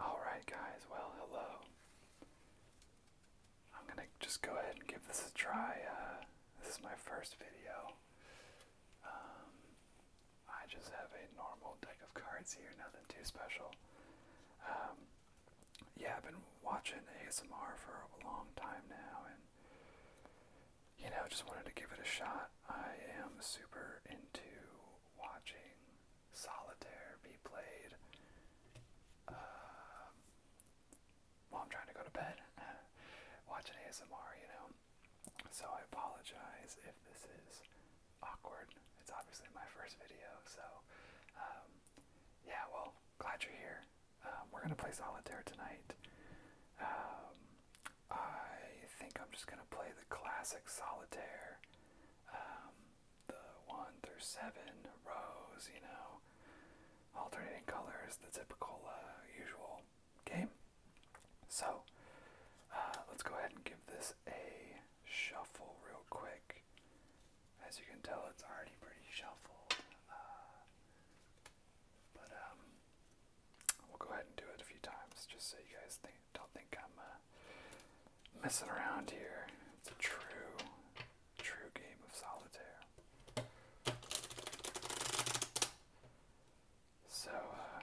Alright, guys, well, hello. I'm gonna just go ahead and give this a try. Uh, this is my first video. Um, I just have a normal deck of cards here, nothing too special. Um, yeah, I've been watching ASMR for a long time now, and you know, just wanted to give it a shot. I am super into watching solitaire be played uh, while I'm trying to go to bed, watching ASMR, you know. So I apologize if this is awkward. It's obviously my first video, so um, yeah. Well, glad you're here. Um, we're gonna play solitaire tonight. I think I'm just gonna play the classic solitaire um, the one through seven rows, you know, alternating colors, the typical uh, usual game. So uh, let's go ahead and give this a shuffle real quick. As you can tell, it's already pretty shuffled. Uh, but um, we'll go ahead and do it a few times just so you guys think don't think I'm uh, messing around here. It's a true, true game of solitaire. So uh,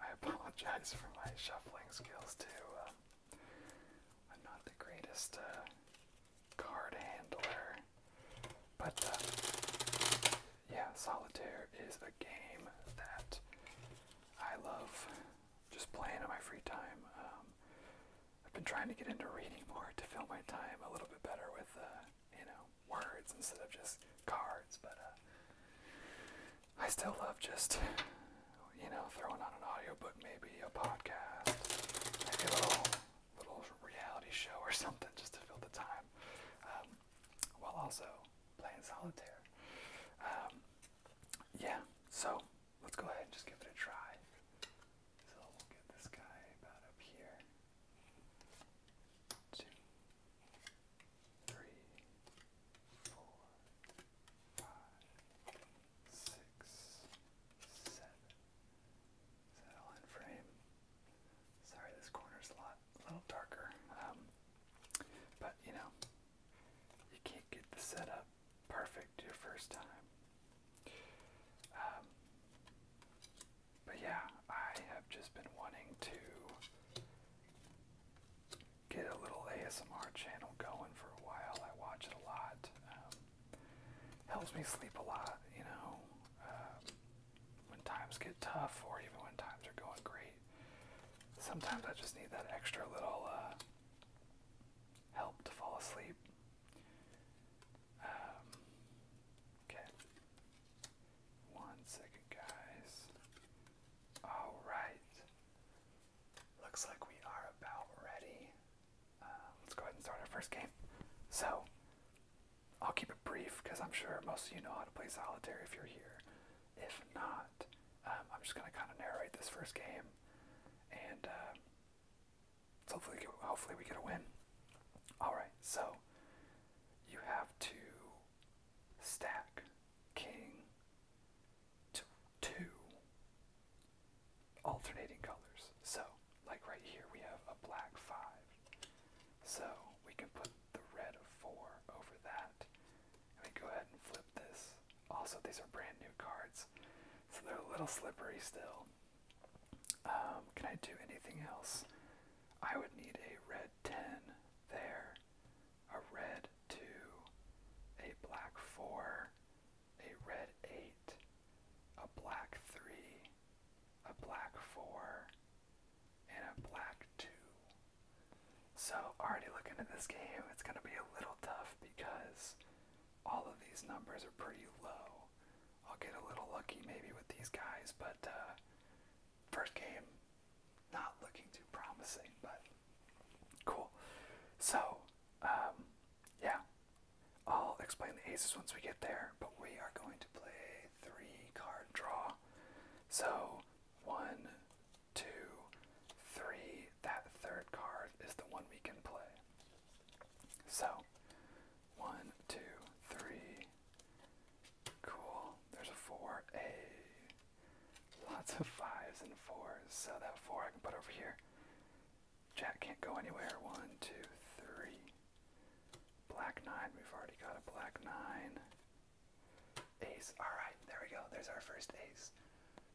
I apologize for my shuffling skills too. Uh, I'm not the greatest card handler, but yeah, solitaire is a game that I love just playing in my free time. Um, I've been trying to get into reading more to fill my time a little bit better with, uh, you know, words instead of just cards. But uh, I still love just, you know, throwing on an audiobook, maybe a podcast, maybe a little, little reality show or something just to fill the time um, while also playing solitaire. Um, yeah, so let's go ahead and just give it a try. So we'll get this guy about up here. Two, three, four, five, six, seven. Settle in frame. Sorry, this corner's a lot, a little darker. Um, but you know, you can't get the setup perfect your first time. Um, but yeah, I have just been wanting to get a little ASMR channel going for a while. I watch it a lot. Um, helps me sleep a lot, you know, um, when times get tough or even when times are going great. Sometimes I just need that extra little uh, help to fall asleep. Um, okay. One second, guys. Alright. Looks like we are about ready. Uh, let's go ahead and start our first game. So, I'll keep it brief because I'm sure most of you know how to play solitaire if you're here. If not, um, I'm just going to kind of narrate this first game, and um, hopefully, hopefully we get a win. All right, so you have to stack king two alternating colors. So, like right here, we have a black five. So we can put the red of four over that, let me go ahead and flip this. Also, these are brand new cards, so they're a little slippery still. Um, can I do anything else? I would need a red 10 there, a red 2, a black 4, a red 8, a black 3, a black 4, and a black 2. So, already looking at this game, it's going to be a little tough because all of these numbers are pretty low. I'll get a little lucky maybe with these guys, but uh, first game, not looking too promising, but cool. So, um, yeah, I'll explain the aces once we get there, but we are going to play three card draw. So, one, two, three. That third card is the one we can play. So, one, two, three. Cool. There's a four. A lots of fives and fours. So that four I can put over here. Jack can't go anywhere. One, two, three. Black nine. We've already got a black nine. Ace. Alright, there we go. There's our first ace.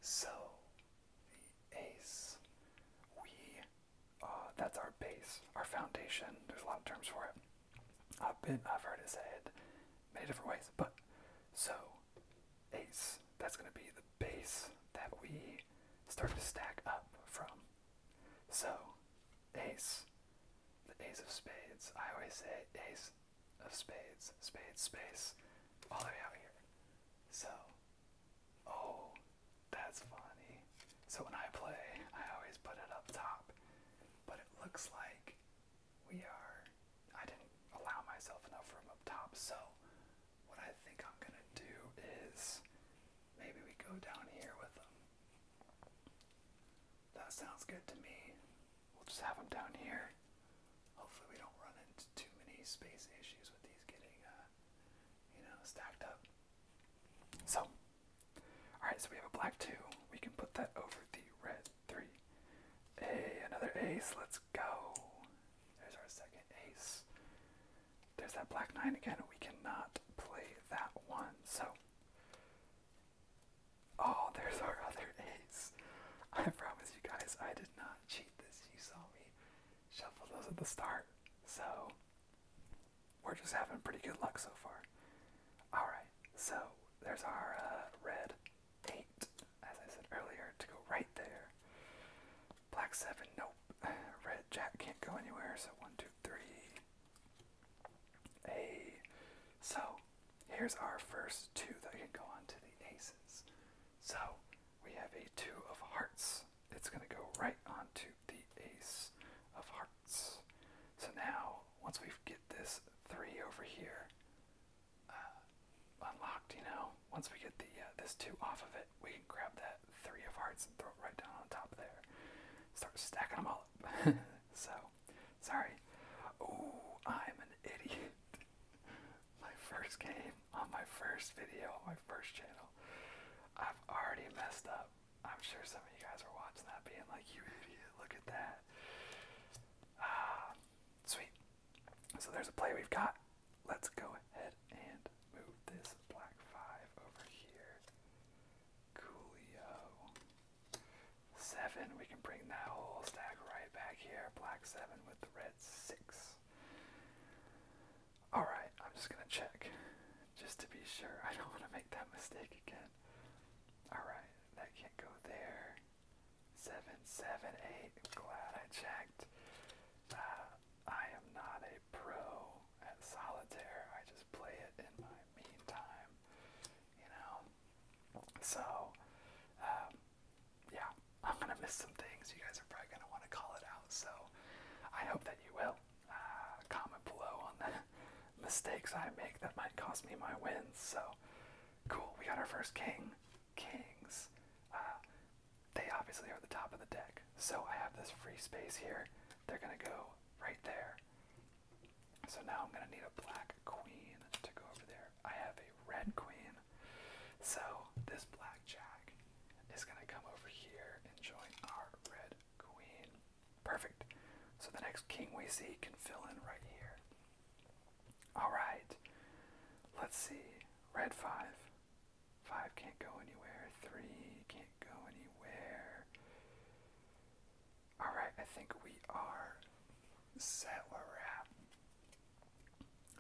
So, the ace. We. Uh, that's our base, our foundation. There's a lot of terms for it. I've been, I've heard it said many different ways, but so ace, that's going to be the base that we start to stack up from. So ace, the ace of spades. I always say ace of spades, spades, space, all the way out here. So, oh, that's funny. So when I play, I always put it up top, but it looks like we are, I didn't allow myself enough room up top, so what I think I'm gonna do is maybe we go down here with them. That sounds good to me. We'll just have them down here. Hopefully we don't run into too many space issues with these getting, uh, you know, stacked up. So, alright, so we have a black 2. We can put that over the red 3. Hey, another ace, let's go. There's our second ace. There's that black 9 again. We cannot play that one. So, Oh, there's our other ace. I promise you guys, I did not cheat this. You saw me shuffle those at the start. So, we're just having pretty good luck so far. Alright, so there's our uh, red 8, as I said earlier, to go right there. Black 7, nope. Red jack can't go anywhere, so one, two, three. A. So, here's our first two that can go on to the aces. So we have a two of hearts. It's going to go right onto the ace of hearts. So now, once we get this three over here uh, unlocked, you know, once we get the uh, this two off of it, we can grab that three of hearts and throw it right down on top there. Start stacking them all up. so Sorry. Oh, I'm an idiot. my first game on my first video on my first channel. I've already messed up. I'm sure some of you guys are watching that being like, you idiot, look at that. Ah, sweet. So there's a play we've got. Let's go ahead and move this black five over here. Coolio. Seven, we can bring that whole stack right back here. Black seven with the red six. Alright, I'm just gonna check. Just to be sure. I don't wanna make that mistake again. Alright, that can't go there. Seven, seven, eight. Glad I checked. Uh, I am not a pro at solitaire. I just play it in my meantime. You know, so, um, yeah, I'm gonna miss some things. You guys are probably gonna want to call it out. So, I hope that you will. Uh, comment below on the mistakes I make that might cost me my wins. So, cool. We got our first king. Kings. Uh, they obviously are the top of the deck. So I have this free space here. They're gonna go right there. So now I'm going to need a black queen to go over there. I have a red queen. So this black jack is going to come over here and join our red queen. Perfect. So the next king we see can fill in right here. Alright. Let's see. Red 5. 5 can't go anywhere. 3 can't go anywhere. Alright, I think we are set where we're at.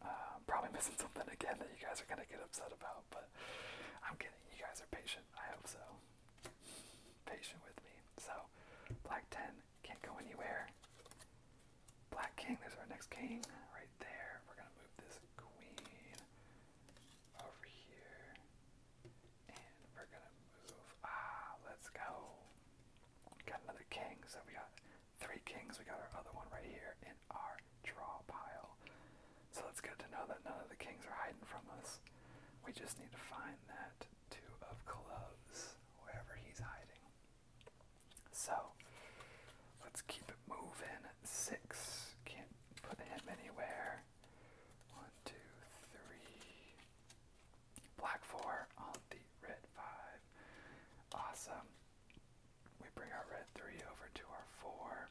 Uh, probably missing something again that you guys are gonna get upset about, but I'm kidding. You guys are patient. I hope so. Patient with me. So, black 10 can't go anywhere. Black king, there's our next king right there. We're gonna move this queen over here, and we're gonna move. Ah, let's go. Got another king, so we got three kings. We got our other one right here in our draw pile. So that's good to know that none of the kings are hiding from us. We just need to find that two of clubs wherever he's hiding. So let's keep it moving. Six. Can't put him anywhere. One, two, three. Black 4 on the red 5. Awesome. We bring our red 3 over to our 4.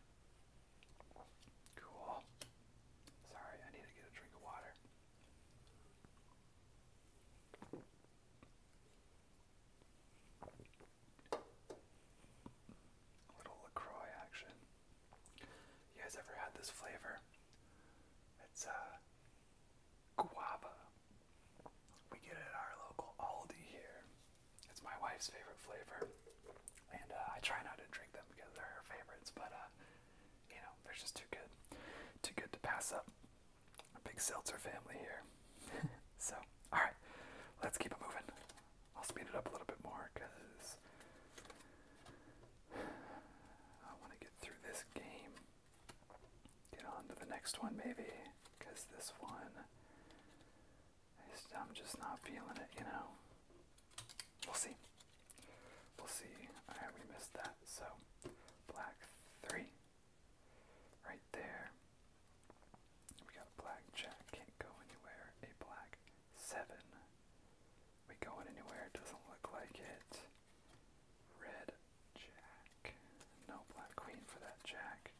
Cool. Sorry, I need to get a drink of water. little LaCroix action. You guys ever had this flavor? It's uh guava. We get at our local Aldi here. It's my wife's favorite flavor, and uh, I try not to drink them because they're her favorites. But uh, you know, they're just too good, too good to pass up. A big seltzer family here. so, all right, let's keep it moving. I'll speed it up a little bit more because I want to get through this game get on to the next one maybe, this one, I'm just not feeling it, you know. We'll see. We'll see. Alright, we missed that. So, black three. Right there. We got a black jack, can't go anywhere. A black seven. We going anywhere? Doesn't look like it. Red jack. No black queen for that jack.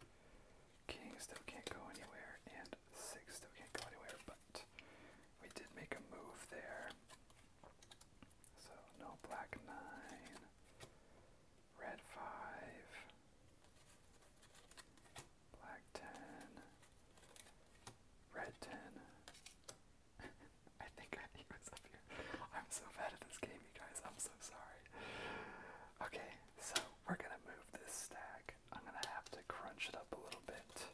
King still can't go anywhere, and six still can't go anywhere, but we did make a move there. So no black nine. Red five. Black ten. Red ten. I think I, he was up here. I'm so bad at this game, you guys. I'm so sorry. Okay, so we're gonna move this stack. I'm gonna have to crunch it up a little bit.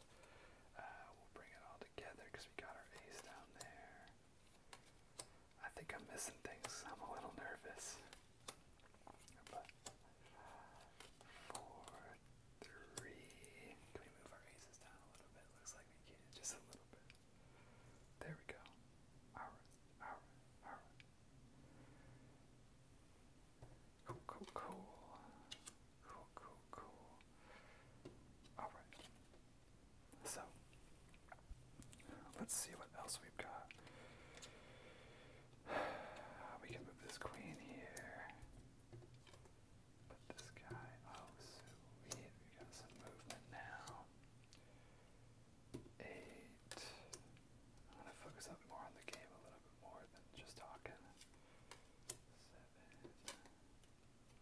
Uh, we'll bring it all together because we got our ace down there. I think I'm missing things. I'm a little nervous. four, three. Can we move our aces down a little bit? Looks like we can. Just a little there we go. Alright, alright, alright. Cool, cool, cool. Cool, cool, cool. Alright. So, let's see what else we've got. We can move this queen here. But this guy, oh sweet, we got some movement now. Eight. I'm gonna focus up more on the game a little bit more than just talking. Seven.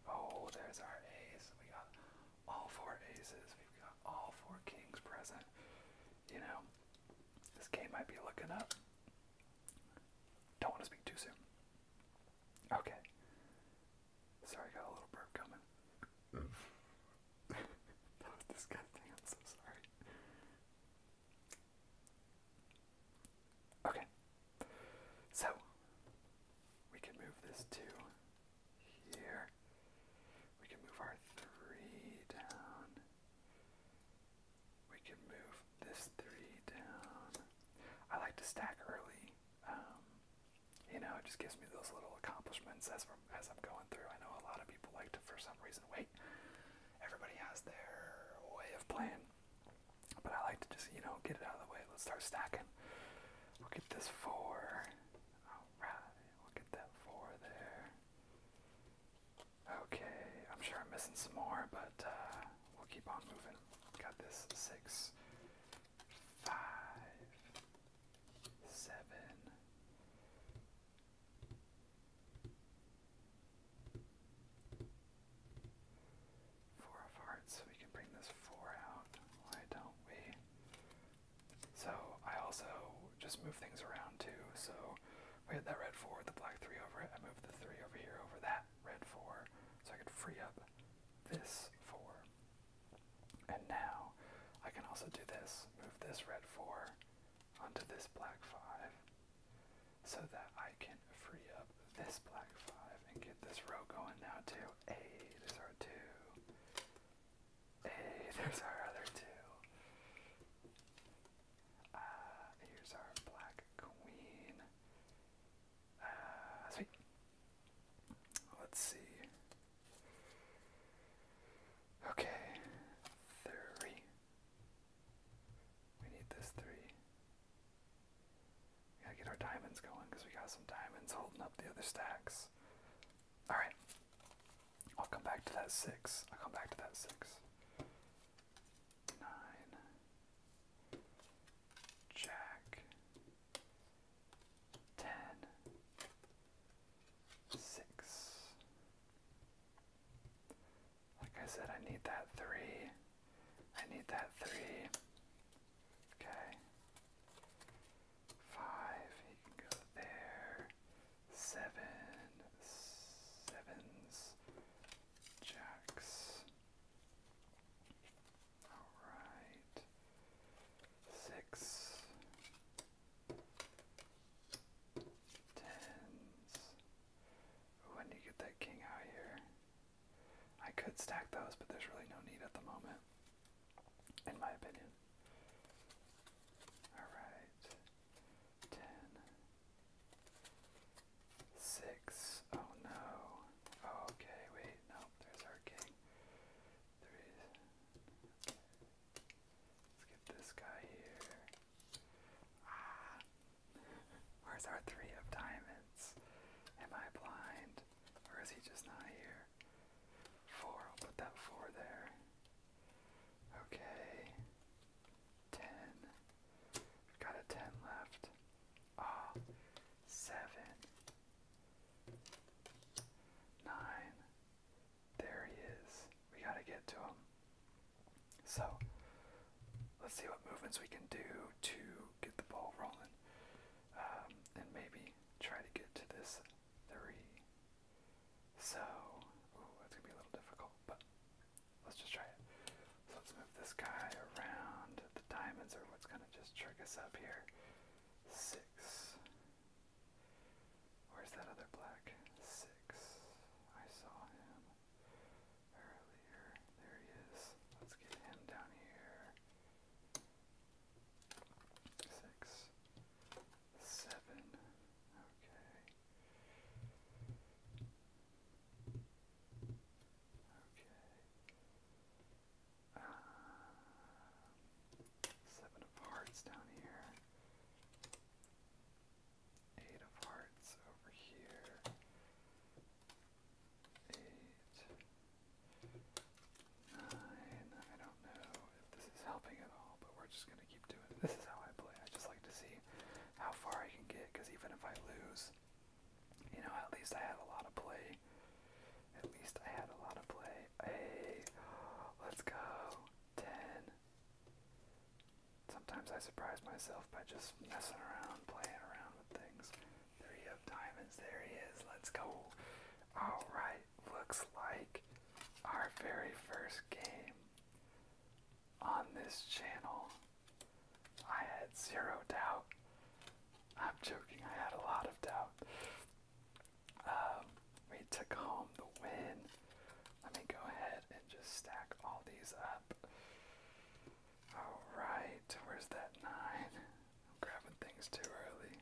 Oh, there's our ace. We got all four aces. We've got all four kings present. You know, this game might be looking up. Don't want to speak too soon. Okay. Sorry, got a little burp coming. that was disgusting. I'm so sorry. Okay. So, we can move this to here. We can move our three down. We can move this three down. I like to stack early um, you know, it just gives me those little accomplishments as I'm, as I'm going through. I know a lot of people like to, for some reason, wait. Everybody has their way of playing, but I like to just, you know, get it out of the way. Let's start stacking. We'll get this four. All right, we'll get that four there. Okay, I'm sure I'm missing some more, but uh, we'll keep on moving. Got this. Six, five, of hearts, so we can bring this four out. Why don't we? So I also just move things around too. So we had that red four with the black three over it. I moved the three over here over that red four, so I could free up this 4. And now I can also do this, move this red 4 onto this black 5, so that I can free up this black 5 and get this row going now too. Hey, there's our 2. Hey, there's our other 2. Ah, here's our black queen. Uh, sweet. Let's see. Okay, three. We need this three. gotta get our diamonds going because we got some diamonds holding up the other stacks. Alright. I'll come back to that six. I'll come back to that six nine, jack, ten, six. Like I said, I need that three. I need that three. Okay. Five, he can go there. Seven, sevens, jacks. Alright. Six. Tens. Ooh, I get that king out here. I could stack those, but there's really no need at the moment. In my opinion. Alright. Ten. Six. Oh no. Oh, okay, wait, no, there's our king. Three. Let's get this guy here. Ah. Where's our three of diamonds? Am I blind? Or is he just not here? Four, I'll put that four there. Okay. 10 got a ten left. Ah, seven, nine. There he is. We gotta get to him. So, let's see what movements we can do to get the ball rolling. Um, and maybe try to get to this three. So, that's gonna be a little difficult, but let's just try it. So let's move this guy around. The diamonds are what's gonna just trick us up here. Six. Where's that other black? Six. I saw him earlier. There he is. Let's get him down here. Six. Seven. Okay. Okay. Uh, seven of hearts down here. Eight of hearts over here. Eight. Nine. I don't know if this is helping at all, but we're just going to keep doing it. This is how I play. I just like to see how far I can get, because even if I lose, you know, at least I had a lot of play. At least I had a lot of play. Hey, let's go. 10. Sometimes I surprise myself by just messing around, playing around with things. There you have diamonds. There he is. Let's go. Alright, looks like our very first game on this channel I had zero doubt. I'm joking, I had a lot of doubt. Um, we took home the win. Let me go ahead and just stack all these up. Alright, where's that nine? I'm grabbing things too early.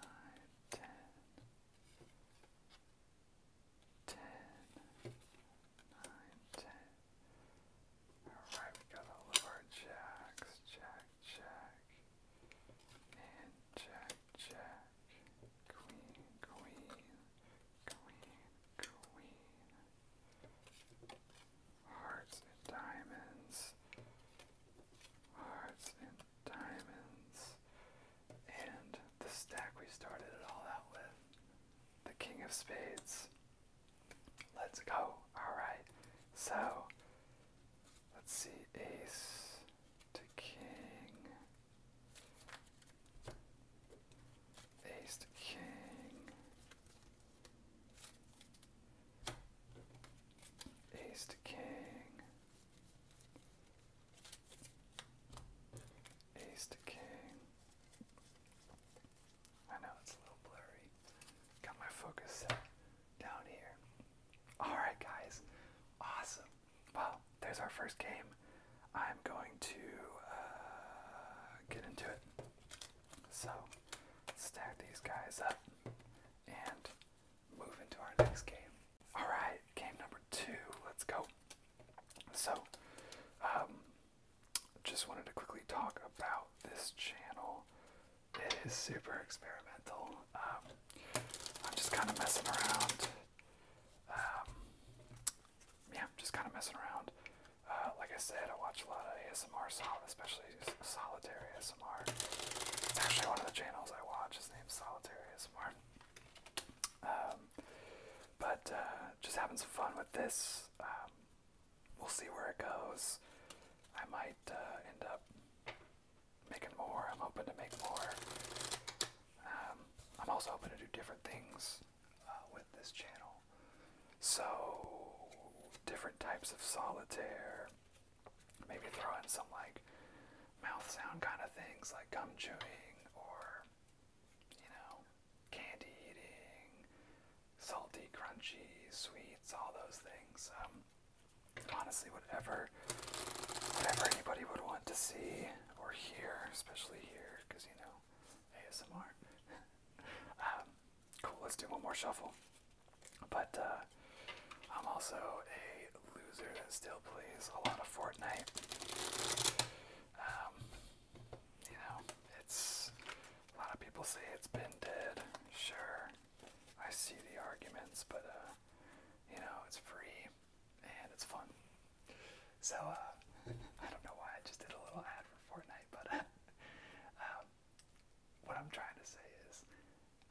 Nine, ten, ten, nine, ten. Alright, we got all of our jacks. Jack, jack. And jack, jack. Queen, queen. Queen, queen. Hearts and diamonds. Hearts and diamonds. And the stack we started it all out with. The King of Spades. Let's go. Alright. So let's see ace to king. Ace to king. Ace to king. Ace to king. I know it's a little blurry. Got my focus set down here. Alright, guys. Awesome. Wow. there's our first game. I'm going to uh, get into it. So, stack these guys up and move into our next game. Alright, game number two. Let's go. So, um, just wanted to quickly talk about this channel. It is super experimental. Um, I'm just kind of messing around. Um, yeah, just kind of messing around. Uh, like I said, I watch a lot of ASMR, solid, especially Solitary ASMR. It's actually one of the channels I watch. His name's Solitary ASMR. Um, but uh, just having some fun with this. Um, we'll see where it goes. I might uh, end up making more. I'm hoping to make more. Um, I'm also hoping to do different things uh, with this channel. So, different types of solitaire. Maybe throw in some like mouth sound kind of things like gum chewing or you know, candy eating, salty, crunchy, sweets, all those things. Um, honestly, whatever, whatever anybody would want to see or hear, especially here, because you know, ASMR. um, cool. Let's do one more shuffle. But uh, I'm also a loser that still plays a lot of Fortnite. Um, you know, it's a lot of people say it's been dead. Sure, I see the arguments, but uh, you know, it's free and it's fun. So uh, I don't know why I just did a little ad for Fortnite, but um, what I'm trying to say is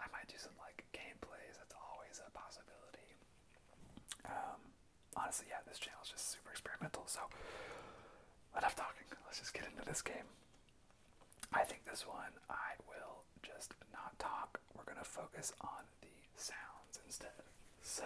I might do some like gameplays. That's always a possibility. Um, honestly, yeah, this channel is just super experimental. So enough talking. Let's just get into this game. I think this one I will just not talk. We're going to focus on the sounds instead. So,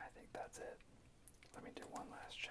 I think that's it. Let me do one last check.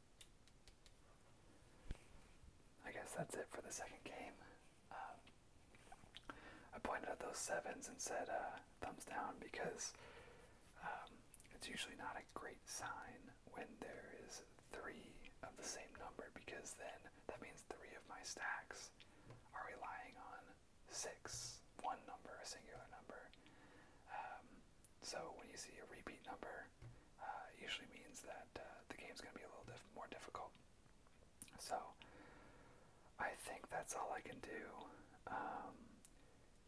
I guess that's it for the second game. Um, I pointed out those sevens and said uh, thumbs down because um, it's usually not a great sign when there is three of the same number because then that means three of my stacks are relying on six, one number, a singular number. Um, so when you see a repeat number, uh, usually means that uh, the game is going to be a little diff more difficult. So I think that's all I can do. Um,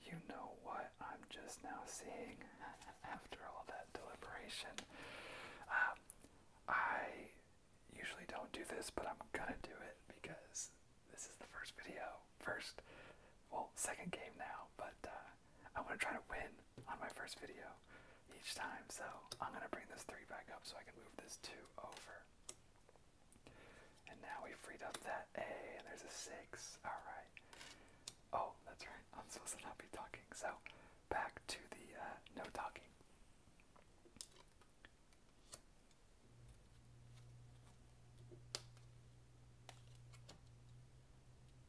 you know what I'm just now seeing after all that deliberation. Um, I usually don't do this, but I'm gonna do it because this is the first video, first, well, second game now, but uh, I want to try to win on my first video each time. So I'm gonna bring this three back up so I can move this two over. And now we freed up that A, and there's a six. All right. Oh, that's right. I'm supposed to not be talking. So back to the uh, no talking.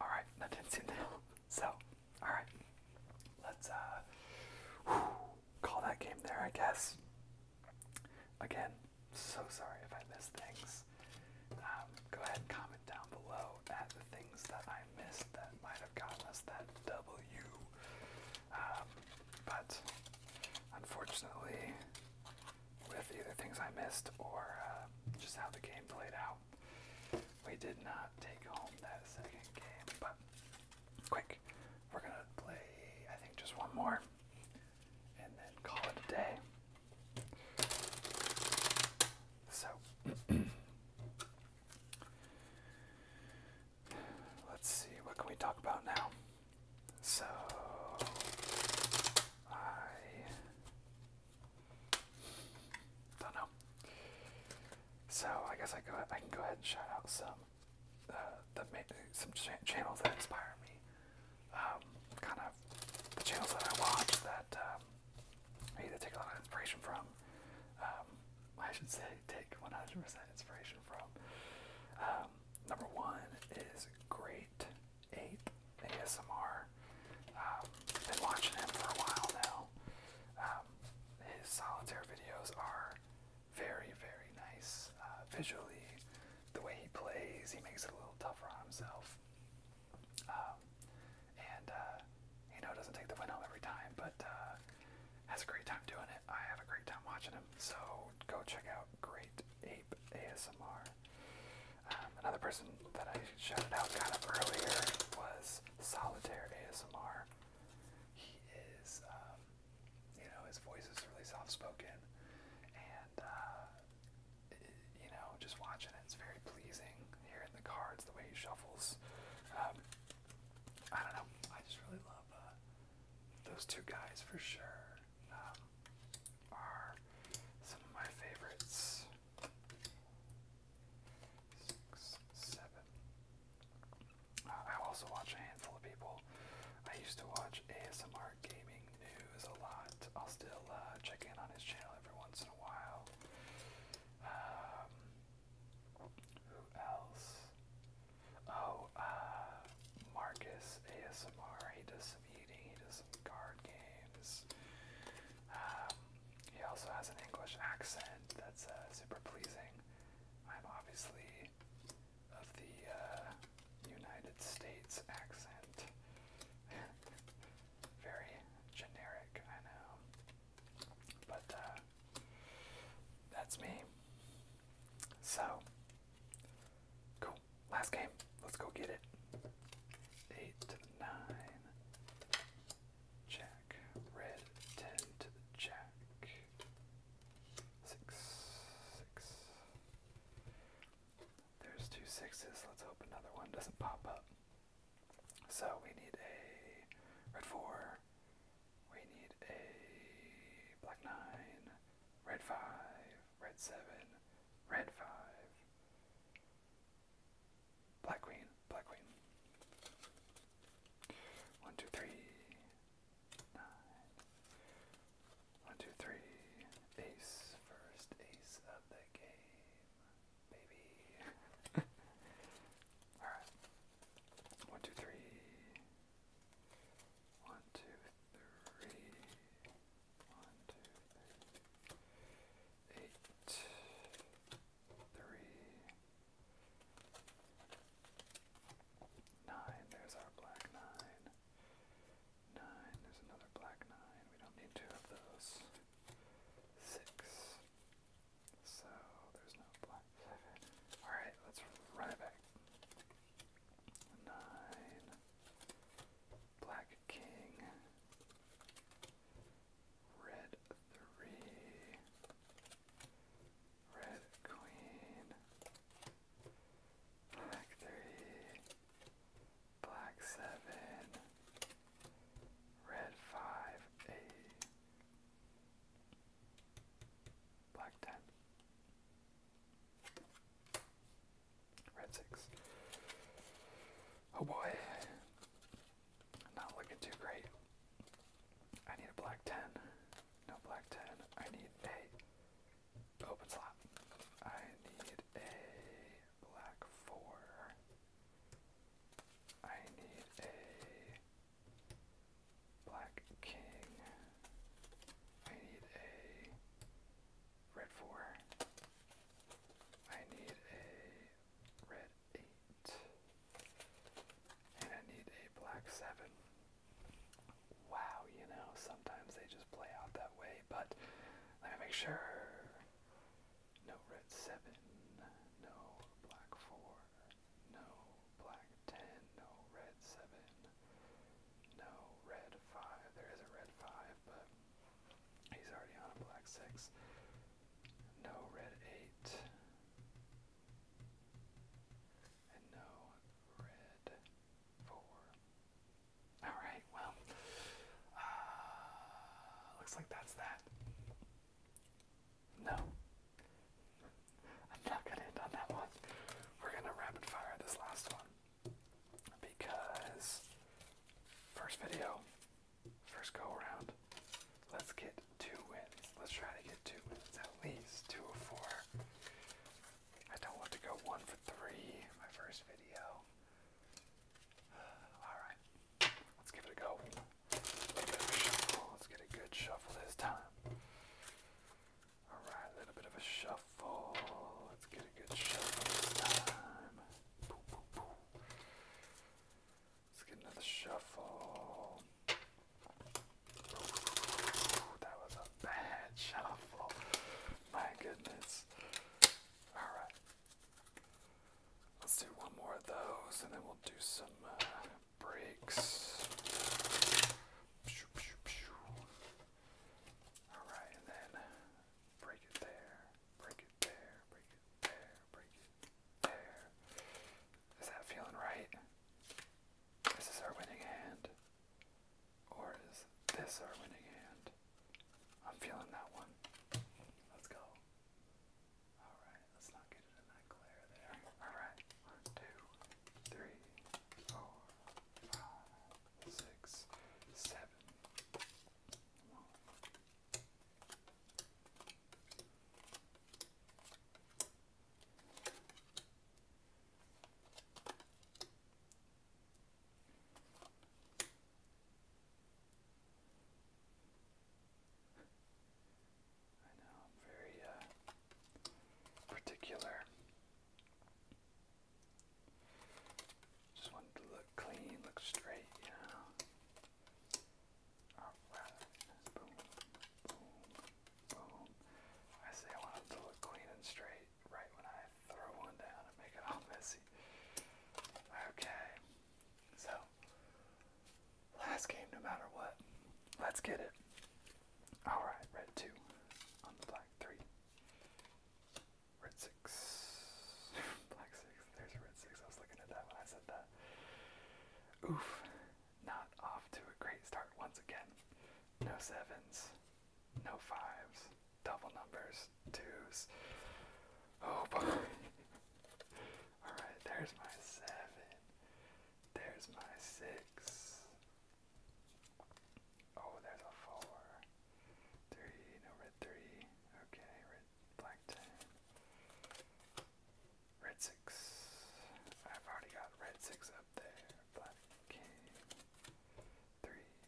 Alright, that didn't seem to help. So, alright. Let's uh call that game there, I guess. Again, so sorry if I missed things this. Um, go ahead and comment down below at the things that I missed that might have gotten us that W. Um, but unfortunately, with either things I missed or uh, just how the game played out, we did not take home that second game. But quick, we're gonna play, I think, just one more and then call it a day. So let's see, what can we talk about now? So I don't know. So I guess I go. I can go ahead and shout out some uh, the some channels that inspire me. Um, kind of the channels that I watch that um, I either take a lot of inspiration from, um, I should say take 100% inspiration from. number one is Great Ape ASMR. Um, been watching him for a while now. his solitaire videos are very, very nice uh, visually. The way he plays, he makes it a little tougher on himself. Um, and, uh, you know, doesn't take the win every time, but uh, has a great time doing it. I have a great time watching him. So go check out Great Ape ASMR. Um, another person that I shouted out kind of earlier was Solitaire ASMR. He is, um, you know, his voice is really soft spoken, and uh, you know, just watching it, it's very pleasing. Hearing the cards, the way he shuffles. Um, I don't know. I just really love uh, those two guys for sure. Um, are some of my favorites. Six, seven. Uh, I also watch a handful of people. I used to watch ASMR gaming news a lot. I'll still uh, check in on his channel every once in a while. Um, who else? Oh, uh, Marcus ASMR. He does some eating. He does some card games. Um, he also has an English accent that's uh, super pleasing. I'm obviously of the United States accent. Very generic, I know. But uh, that's me. So, cool. Last game. Let's go get it. Eight, nine. Jack. Red, ten to the jack. Six, six. There's two sixes. Let's hope another one doesn't pop up. So we need a red four. We need a black nine, red five, red seven, red five, black queen, black queen. One, two, three, nine. One, two, three. Ace. First ace of the game. Baby. Alright. One, two, three. One, two, three. three. Eight. There's our black nine. Nine, there's another black nine. We don't need two of those. Six. So there's no black Alright, let's run back. Nine. Black king. Red three. Red queen. Black three black seven, red five, a black ten, red six. Oh boy, not looking too great. I need a black ten, no black ten. I need eight. Open slot. I need a black four. I need a black king. I need a red four. I need a red eight. And I need a black seven. Wow, you know, sometimes they just play out that way, but let me make sure. No red seven. No black four. No black ten. No red seven. No red five. There is a red five, but he's already on a black six. No red eight. And no red four. All right. Well, uh, looks like that's that. No, I'm not gonna end on that one. We're gonna rapid fire this last one because first video, first go around. Let's get two wins. Let's try to get two wins at least two or four. I don't want to go one for three. My first video. Alright, let's give it a go. let's get a good shuffle this time. Alright, a little bit of a shuffle. Let's get a good shuffle this time. Let's get another shuffle. That was a bad shuffle. My goodness. Alright. Let's do one more of those and then we'll do some uh, breaks. Alright, and then break it there, break it there, break it there, break it there. Is that feeling right? This is our winning hand. Or is this our winning hand? I'm feeling that one. Let's go. Alright, let's not get it that glare there. Alright, I know, very particular. Just wanted to look clean, look straight, you know. boom, boom, boom. I say I want to look clean and straight right when I throw one down and make it all messy. Okay, so last game, no matter what. Let's get it. Alright, red 2 on the black 3. Red 6. black 6. There's a red 6. I was looking at that when I said that. Oof. Not off to a great start once again. No 7s. No 5s double numbers, twos. Oh boy. Alright, there's my seven. There's my six. Oh, there's a four. Three, no red three. Okay, red ten. Red six. I've already got red six up there. Black three,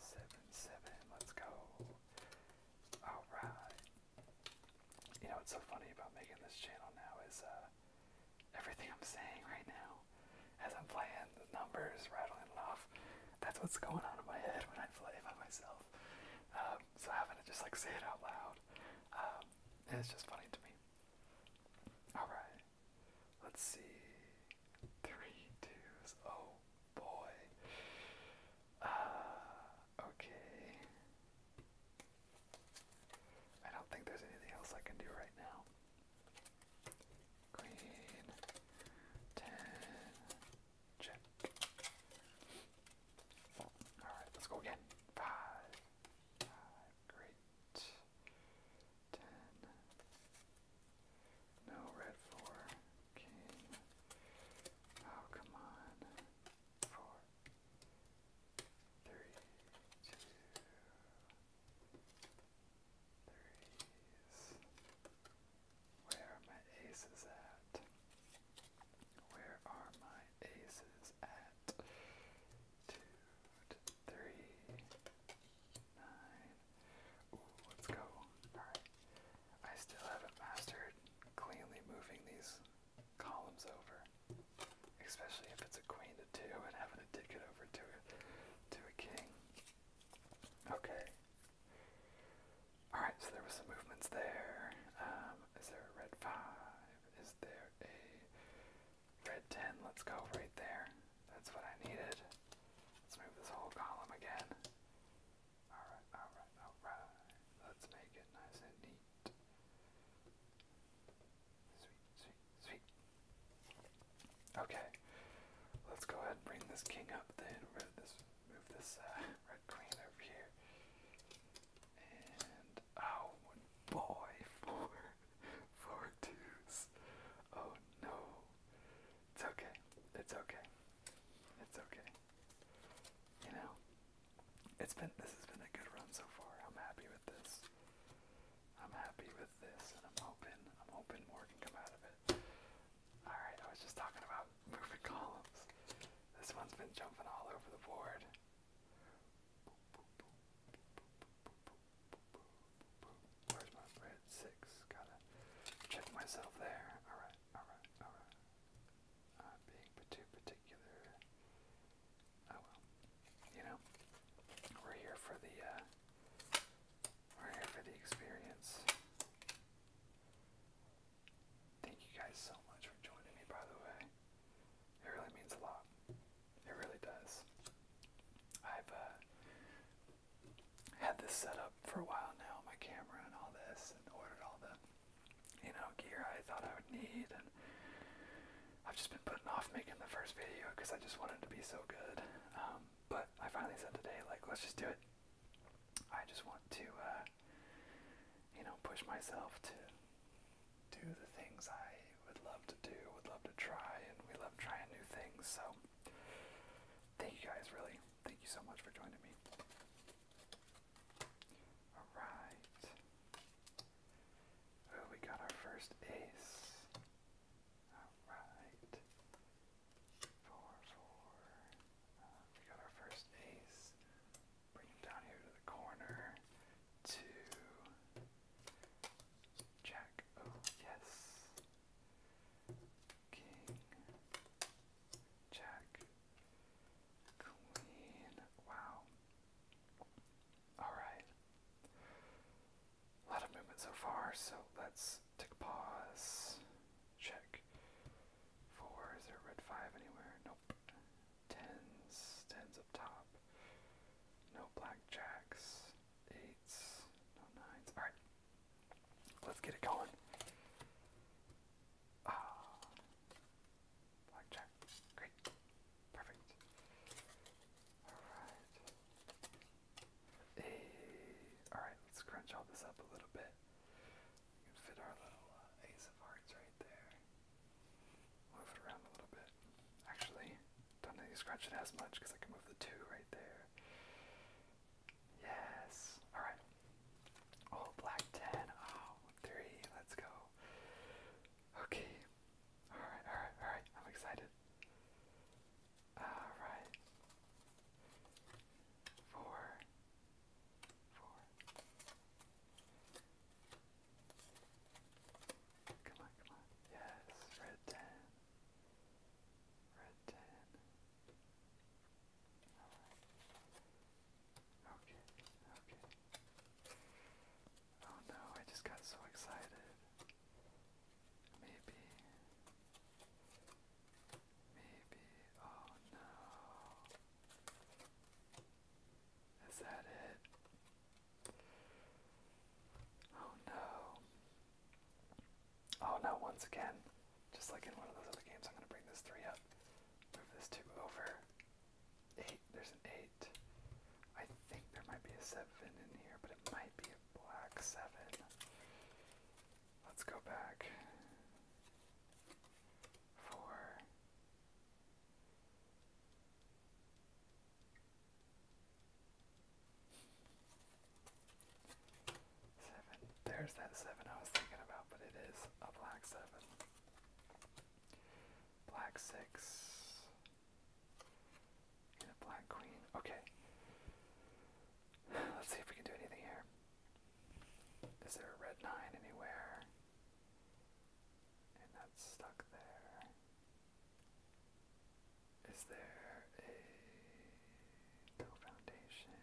seven, seven. Let's go. All right. You know what's so funny about making this channel now is uh, everything I'm saying right now, as I'm playing the numbers, rattling it off. That's what's going on in my head when I play by myself. Um, so having to just like say it out loud, um, it's just funny to me. All right. Let's see. Three twos. Oh, boy. Uh, okay. I don't think there's anything else I can do right now. Green. Ten. Alright, let's go again. Five. Five. Great ten. No, red four, king. Oh, come on. Four, three, two, threes. Where are my aces at? Where are my aces at? Two, three, nine. let's go. Alright. I still haven't mastered cleanly moving these columns over. Especially if it's a queen to two and having to dig it over to a, to a king. Okay. Alright, so there was some movements there. Um, is there a red five? Is there a Red 10, let's go right there. That's what I needed. Let's move this whole column again. Alright, alright, alright. Let's make it nice and neat. Sweet, sweet, sweet. Okay. Let's go ahead and bring this king up then. Move this, uh, red queen over here. oh boy, Four twos. Oh no. It's okay. It's okay. It's okay. You know, it's been this has been a good run so far. I'm happy with this. I'm happy with this, and I'm hoping I'm hoping more can come out of it. All right, I was just talking about moving columns. This one's been jumping all over the board. Where's my red six? Gotta check myself there. Alright, alright, alright. i uh, being too particular. Oh well. You know, we're here for the, uh, we're here for the experience. Thank you guys so much for joining me, by the way. It really means a lot. It really does. I've uh, had this set up for a while now, my camera and all this, and ordered all the you know gear I thought I would need, and I've just been putting off making the first video because I just wanted to be so good. Um, but I finally said today, like, let's just do it. I just want to, uh, you know, push myself to do the things I would love to do, would love to try, and we love trying new things. So, thank you guys, really. Thank you so much for joining me. Alright. Oh, we got our first ace. Alright. Four, four. Uh, we got our first ace. Bring him down here to the corner. Two. Jack. Oh, yes. King. Jack. Queen. Wow. Alright. A lot of movement so far, so let's take a pause. Check. Four, is there red five anywhere? Nope. Tens. Tens up top. No black jacks eights, no nines. All right, let's get it going. Ah, blackjack. Great, perfect. All right. Eight. All right, let's crunch all this up a little bit. We can fit our little uh, ace of hearts right there. Move it around a little bit. Actually, don't need to scratch it as much because I can move the two right there. Yes. Alright. Oh, black 10. Oh, three. Let's go. Okay. Alright, alright, alright. I'm excited. Alright. Four. Four. Come on, come on. Yes, red 10. Red 10. Okay, okay. Oh no, I just got so excited. Maybe. Maybe. Oh no. Is that it? Oh no. Oh no, once again, just like in one of those other games, I'm going to bring this 3 up. Move this 2 over. 8, there's an 8. I think there might be a 7 in here, but it might be a black 7. Let's go back. 4. Seven. There's that seven I was thinking about, but it is a black seven. Black six. And a black queen. Okay. Let's see if we can do anything here. Is there a red nine anywhere? And that's stuck there. Is there a foundation?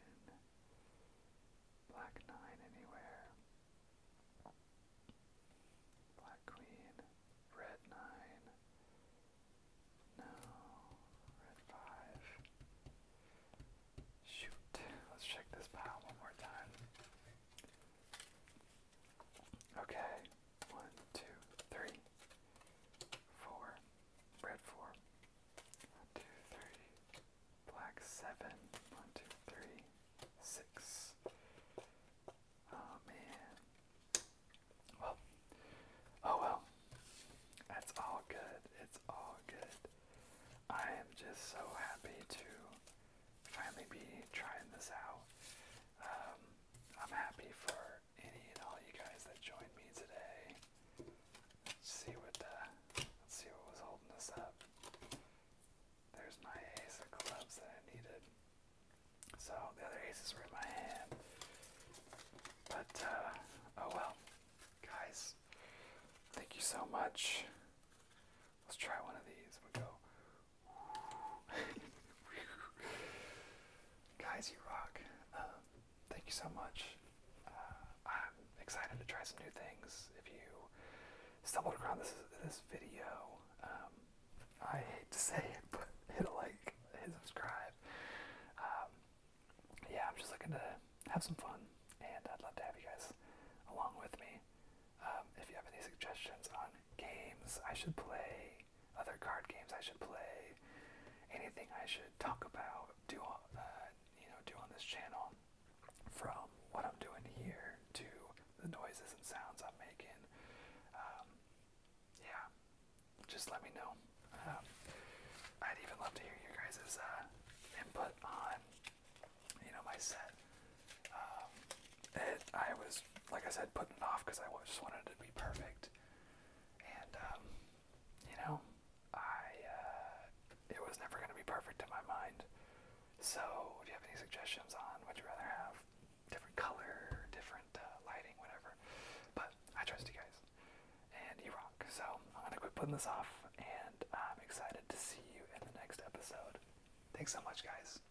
Black nine anywhere? Black queen, red nine. No, red five. Shoot, let's check this pile one more time. Okay, one, two, three, four, red four, one, two, three, black seven, one, two, three, six. Oh man. Well, oh well. That's all good. It's all good. I am just so happy to finally be trying this out. Um, I'm happy for any and all you guys that joined me today. Let's see what the, let's see what was holding us up. There's my ace of clubs that I needed. So the other aces were in my hand. But uh, oh well, guys. Thank you so much. Let's try one of these. we go Guys, you rock. Um, thank you so much. Uh, I'm excited to try some new things. If you stumbled across this video, um, I hate to say it, but hit a like, hit subscribe. Um, yeah, I'm just looking to have some fun, and I'd love to have you guys along with me. if you have any suggestions on games I should play, other card games I should play, anything I should talk about, do on, uh, you know, do on this channel, from what I'm doing here to the noises and sounds I'm making. Um, yeah, just let me know. Um, I'd even love to hear you guys' uh, input on, you know, my set. Um, it, I was like I said, putting it off because I just wanted it to be perfect. And, um, you know, I, uh, it was never going to be perfect in my mind. So, do you have any suggestions on what you rather have? Different color, different uh, lighting, whatever. But I trust you guys. And you rock. So, I'm going to quit putting this off. And I'm excited to see you in the next episode. Thanks so much, guys.